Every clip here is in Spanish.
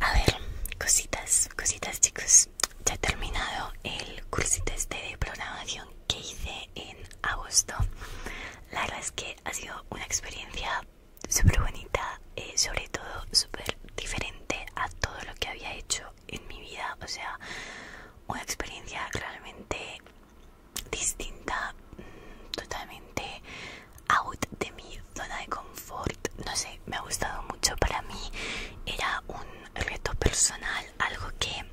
A ver, cositas, cositas chicos. Ya he terminado el cursito este de programación que hice en agosto. La verdad es que ha sido una experiencia súper bonita, y eh, sobre todo súper diferente a todo lo que había hecho en mi vida. O sea, una experiencia realmente distinta, mm, totalmente out de mi zona de confort. No sé, me ha gustado mucho. Para mí era un reto personal, algo que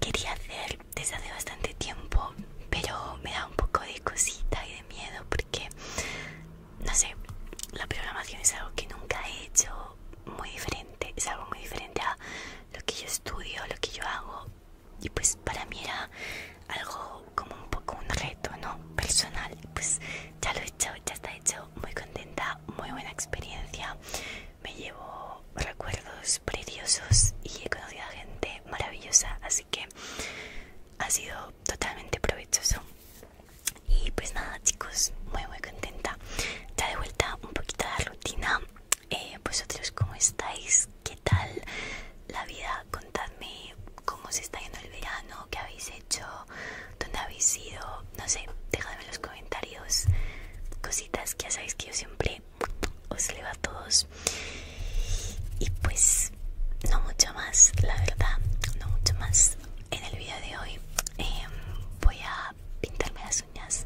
quería hacer desde hace bastante tiempo, pero me da un poco de cosita y de miedo porque, no sé, la programación es algo que nunca he hecho muy diferente, es algo muy diferente a lo que yo estudio, lo que yo hago. Y pues para mí era algo como un poco un reto, ¿no? Personal, pues ya lo he hecho, ya está hecho, muy contenta, muy buena experiencia, me llevo recuerdos preciosos y he conocido a gente maravillosa, así que ha sido totalmente provechoso. Y pues nada chicos, muy muy contenta. Ya de vuelta un poquito de la rutina. Eh, vosotros cómo estáis, qué tal la vida contadme cómo se está yendo el verano, qué habéis hecho, dónde habéis ido, no sé, dejadme en los comentarios cositas que ya sabéis que yo siempre os leo a todos. Y pues no mucho más, la verdad, no mucho más. En el vídeo de hoy em, voy a pintarme las uñas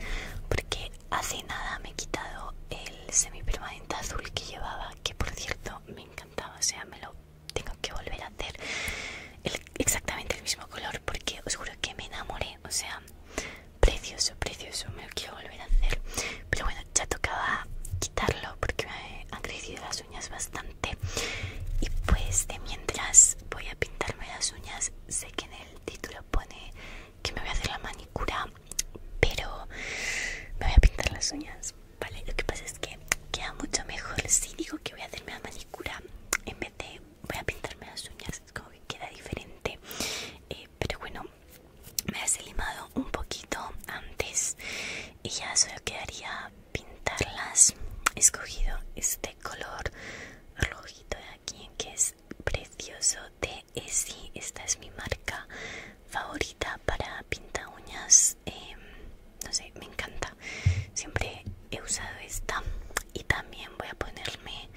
porque hace nada me he quitado el semipermanente azul que llevaba, que por cierto me encanta o sea, me lo tengo que volver a hacer exactamente el mismo color porque os juro que me enamoré, o sea, precioso, precioso, me lo quiero volver a hacer. Pero bueno, ya tocaba quitarlo porque me han crecido las uñas bastante y pues de mientras voy a pintarme las uñas, sé que en el título pone que me voy a hacer la manicura, pero me voy a pintar las uñas lo que pasa es que queda mucho mejor si digo que voy a hacerme la manicura en vez de voy a pintarme las uñas, es como que queda diferente. Eh, pero bueno, me las he limado un poquito antes y ya solo quedaría pintarlas. He escogido este color rojito de aquí que es precioso de Essie. Esta es mi marca favorita para pinta uñas em, no sé me encanta siempre he usado esta y también voy a ponerme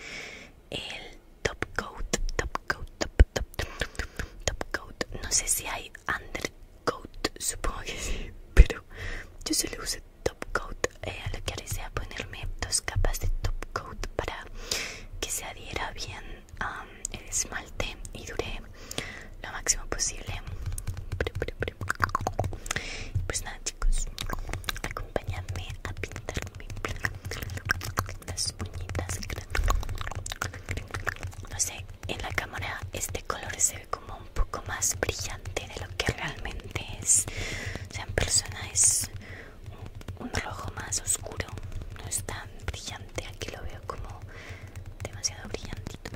el top coat top coat top coat no sé si hay undercoat supongo que sí pero yo solo uso top coat eh, a lo que haré sea ponerme dos capas de top coat para que se adhiera bien el esmalte y dure lo máximo posible pues nada chicos acompañadme a pintarme las uñitas no sé en la cámara este color se ve como un poco más brillante de lo que realmente es o sea en persona es un rojo más oscuro no es tan brillante que lo veo como demasiado brillantito.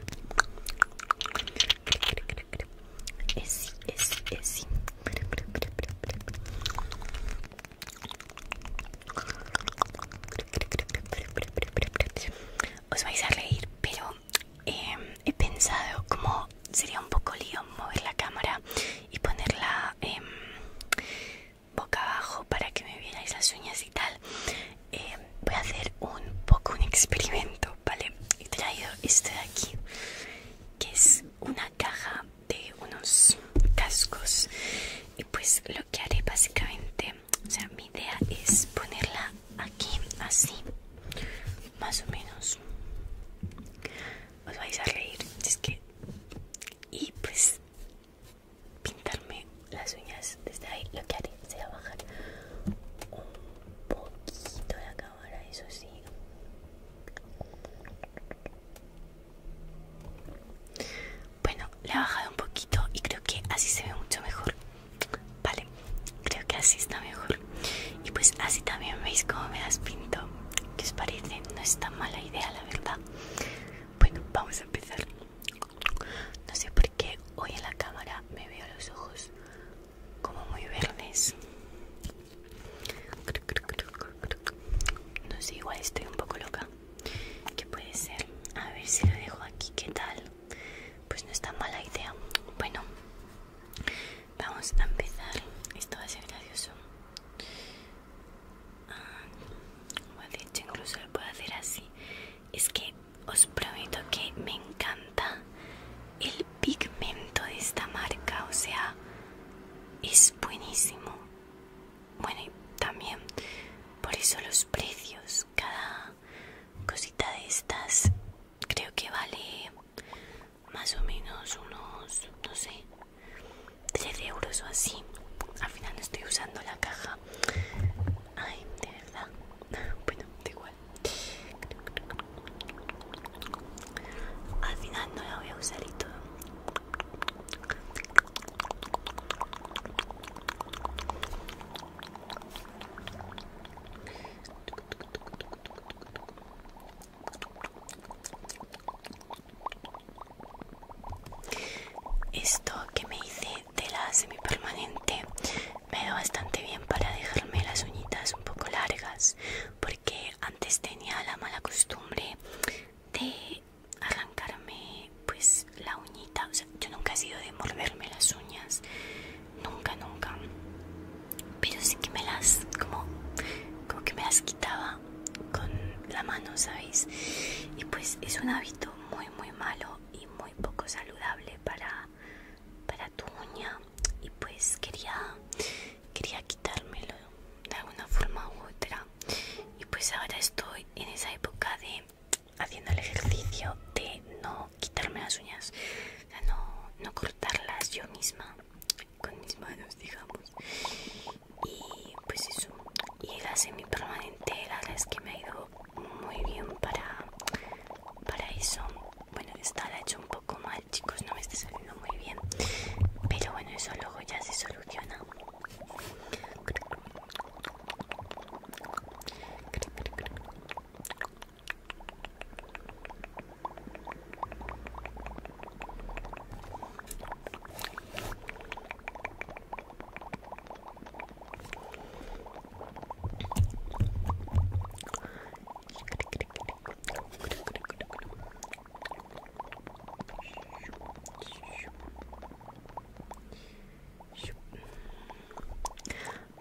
Os vais a reír, pero em, he pensado como sería un poco lío mover la cámara y ponerla em, boca abajo para que me vierais las uñas y tal eh, voy a hacer un poco un experimento vale he traído esto de aquí que es una caja de unos cascos y pues lo que haré básicamente o sea mi idea es ponerla aquí así más o menos os vais a reír es que y pues pintarme las uñas desde ahí lo que haré será bajar un poquito la cámara eso sí bueno la he bajado un poquito y creo que así se ve mucho mejor vale creo que así está mejor y pues así también veis cómo me las pinto que os parece no es tan mala idea la verdad bueno, vamos a empezar. No sé por qué hoy en la cámara me veo los ojos como muy verdes. No sé, igual estoy un poco loca. ¿Qué puede ser? A ver si lo dejo aquí, ¿qué tal? Pues no está mala idea. Bueno, vamos a empezar. Esto va a ser gracioso como ah, he dicho incluso lo puedo hacer así es que os prometo que me encanta el pigmento de esta marca o sea es buenísimo bueno y también por eso los precios cada cosita de estas creo que vale más o menos unos no sé Tres euros o así al final no estoy usando la caja ay de verdad bueno da igual al final no la voy a usar y todo esto que me hice de la semipermanente me da bastante bien para dejarme las uñitas un poco largas porque antes tenía la mala costumbre de arrancarme pues la uñita, yo nunca he sido de morderme las uñas, nunca, nunca, pero sí que me las como, como que me estaba con la mano, ¿sabéis? Y pues es un hábito muy, muy malo y muy poco saludable para, para tu uña. Y pues quería, quería quitármelo de alguna forma u otra. Y pues ahora estoy en esa época de haciendo el ejercicio de no quitarme las uñas, no, no cortarlas yo misma con mis manos, digamos y pues eso y la semipermanente verdad es que me ha ido muy bien para para eso bueno esta la he hecho un poco mal chicos no me está saliendo muy bien pero bueno eso luego ya se soluciona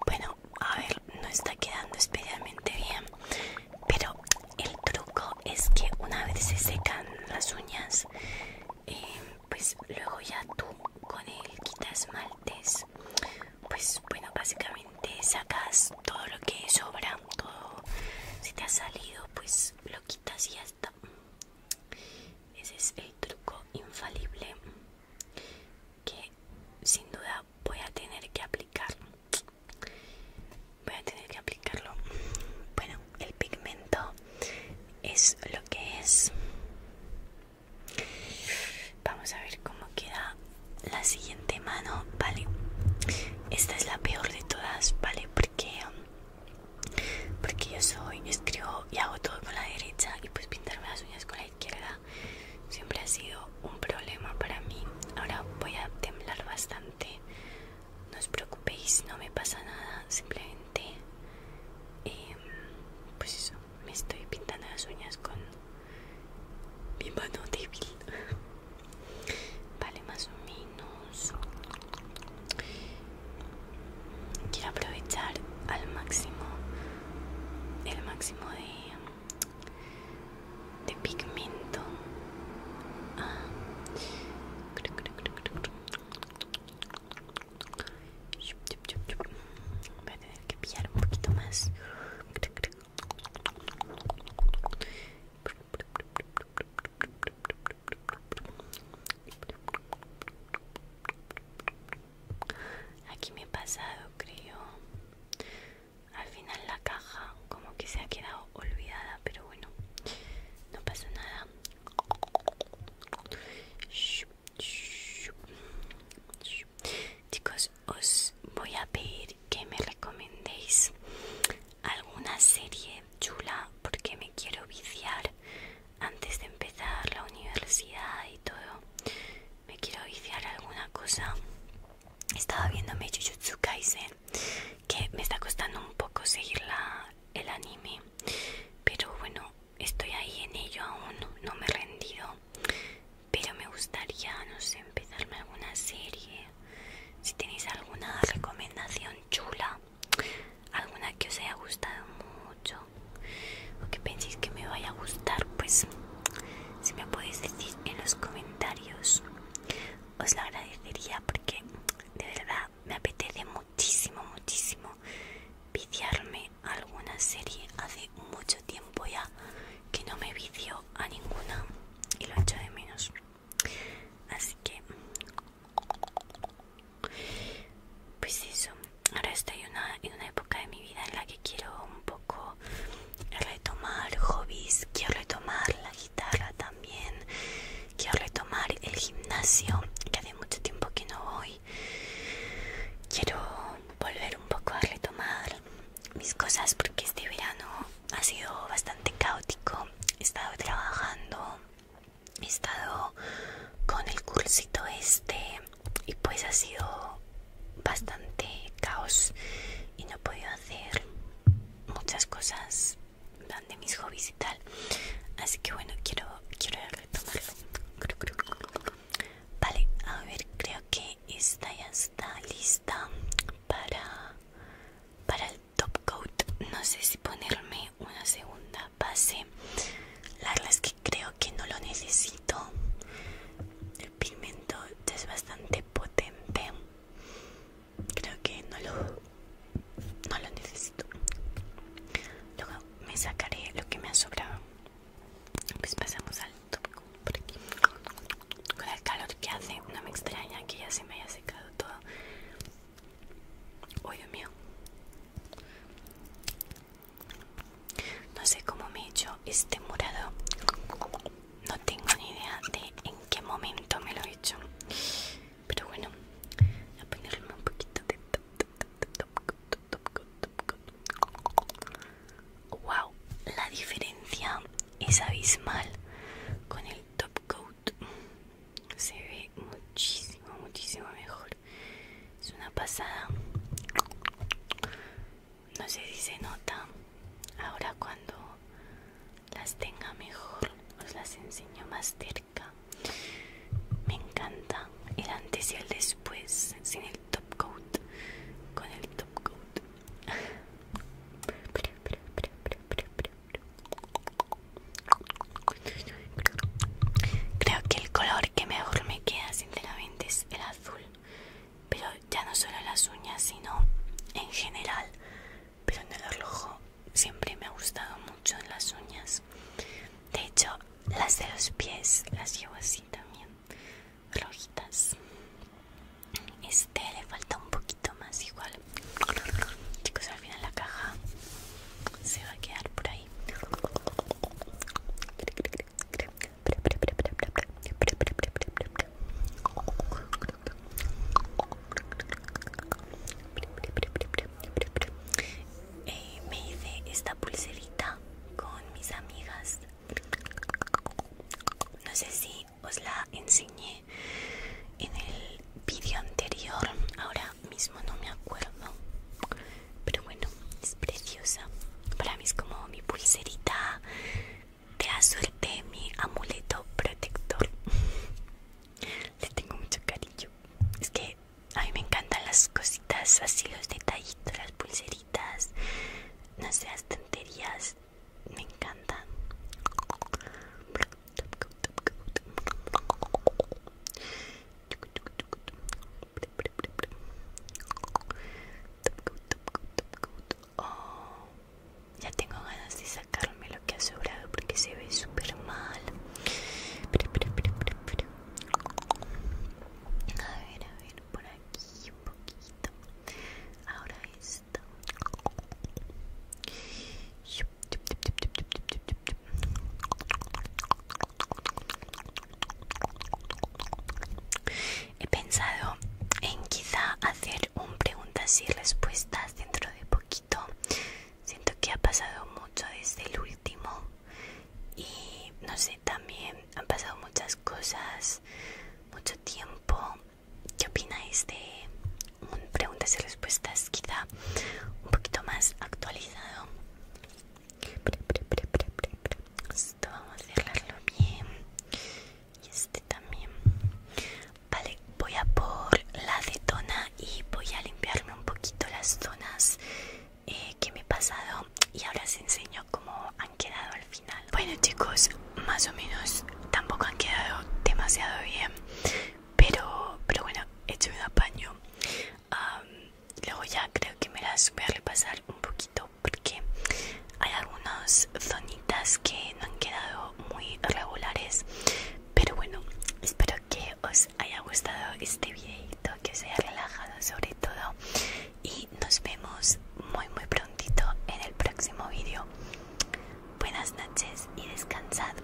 bueno, a ver, no está quedando especialmente bien, pero el truco es que una vez se secan las uñas, eh, pues luego ya tú con el quitasmaltes, pues bueno, básicamente sacas todo lo que sobra, todo si te ha salido, pues lo quitas y ya está. Ese es el truco infalible que sin duda voy a tener que aplicar voy a tener que aplicarlo bueno el pigmento es lo que es vamos a ver cómo queda la siguiente mano vale esta es la peor de todas vale porque porque yo soy escribo y hago todo con la derecha y pues pintarme las uñas con la izquierda siempre ha sido un problema para mí ahora voy a temblar bastante no os preocupéis, no me pasa nada. Simplemente, em, pues eso, me estoy pintando las uñas con mi mano débil. Vale, más o menos. Quiero aprovechar al máximo el máximo de de pigmento ah. voy a tener que pillar un poquito más Aquí me he pasado, creo al final la caja como que se ha quedado olvidada pero bueno no pasa nada chicos os voy a pedir que me recomendéis alguna serie chula porque me quiero viciar antes de empezar la universidad y todo me quiero viciar alguna cosa estaba viéndome Jujutsu Kaisen que me está costando un poco seguir el anime pero bueno estoy ahí en ello aún no me he rendido pero me gustaría no sé empezarme alguna serie si tenéis alguna recomendación chula alguna que os haya gustado mucho o que penséis que me vaya a gustar pues si me podéis decir en los comentarios os lo agradecería porque de verdad me apetece muchísimo muchísimo viciarme a alguna serie hace mucho tiempo ya que no me vicio a ninguna y lo echo de menos así que pues eso ahora estoy una, en una época de mi vida en la que quiero un poco retomar hobbies, quiero retomar la guitarra también, quiero retomar el gimnasio, que hace mucho tiempo que no voy. Quiero volver un poco a retomar mis cosas porque este verano ha sido bastante caótico. He estado trabajando, he estado con el cursito este y pues ha sido bastante caos y no puedo hacer muchas cosas de mis hobbies y tal así que bueno quiero quiero retomarlo vale a ver creo que esta ya está lista para para el top coat no sé si ponerme una segunda base la verdad es que creo que no lo necesito el pigmento es bastante potente creo que no lo no lo necesito luego me sacaré lo que me ha sobrado pues pasamos al tópico por aquí con el calor que hace no me extraña que ya se me haya secado todo hoy Dios mío no sé cómo me he hecho este morado. No tengo ni idea de en qué momento me lo he hecho. Pero bueno, voy a ponerme un poquito de... Wow, la diferencia es abismal con el top coat. Se ve muchísimo, muchísimo mejor. Es una pasada no sé si se nota ahora cuando las tenga mejor os las enseño más cerca me encanta el antes y el después sin el top coat con el top coat creo que el color que mejor me queda sinceramente es el azul pero ya no solo las uñas sino en general pero en el reloj siempre me ha gustado mucho en las uñas de hecho las de los pies las llevo así también rojitas este le falta un poquito más igual chicos al final la caja se va a quedar por ahí eh, me hice esta pulserita con mis amigas. No sé si os la enseñé en el vídeo anterior, ahora mismo no me acuerdo. Pero bueno, es preciosa. Para mí es como mi pulserita de la suerte, mi amuleto protector. Le tengo mucho cariño. Es que a mí me encantan las cositas así, los detallitos, las pulseritas, no seas tonterías. Me encantan. Oh, ya tengo ganas de sacarme lo que ha sobrado porque se ve súper mal. A ver, a ver, por aquí un poquito. Ahora esto. He pensado en quizá hacer un preguntas y respuestas dentro de poquito. Siento que ha pasado mucho desde el último y no sé, también han pasado muchas cosas, mucho tiempo. ¿Qué opináis de un preguntas y respuestas quizá un poquito más actualizado? Esto vamos a cerrarlo bien. Y este también. Vale, voy a por la acetona y voy a limpiarme un poquito las zonas eh, que me he pasado. Y ahora os enseño cómo han quedado al final. Bueno chicos, más o menos tampoco han quedado demasiado bien. Pero, pero bueno, he hecho un apaño luego ya creo que me las voy a repasar un poquito porque hay algunas zonitas que no han quedado muy regulares. Pero bueno, espero que os haya gustado este videito, que os haya relajado sobre todo. Y nos vemos muy muy prontito en el próximo vídeo. Buenas noches y descansad.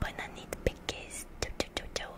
Buena nit peques. chau.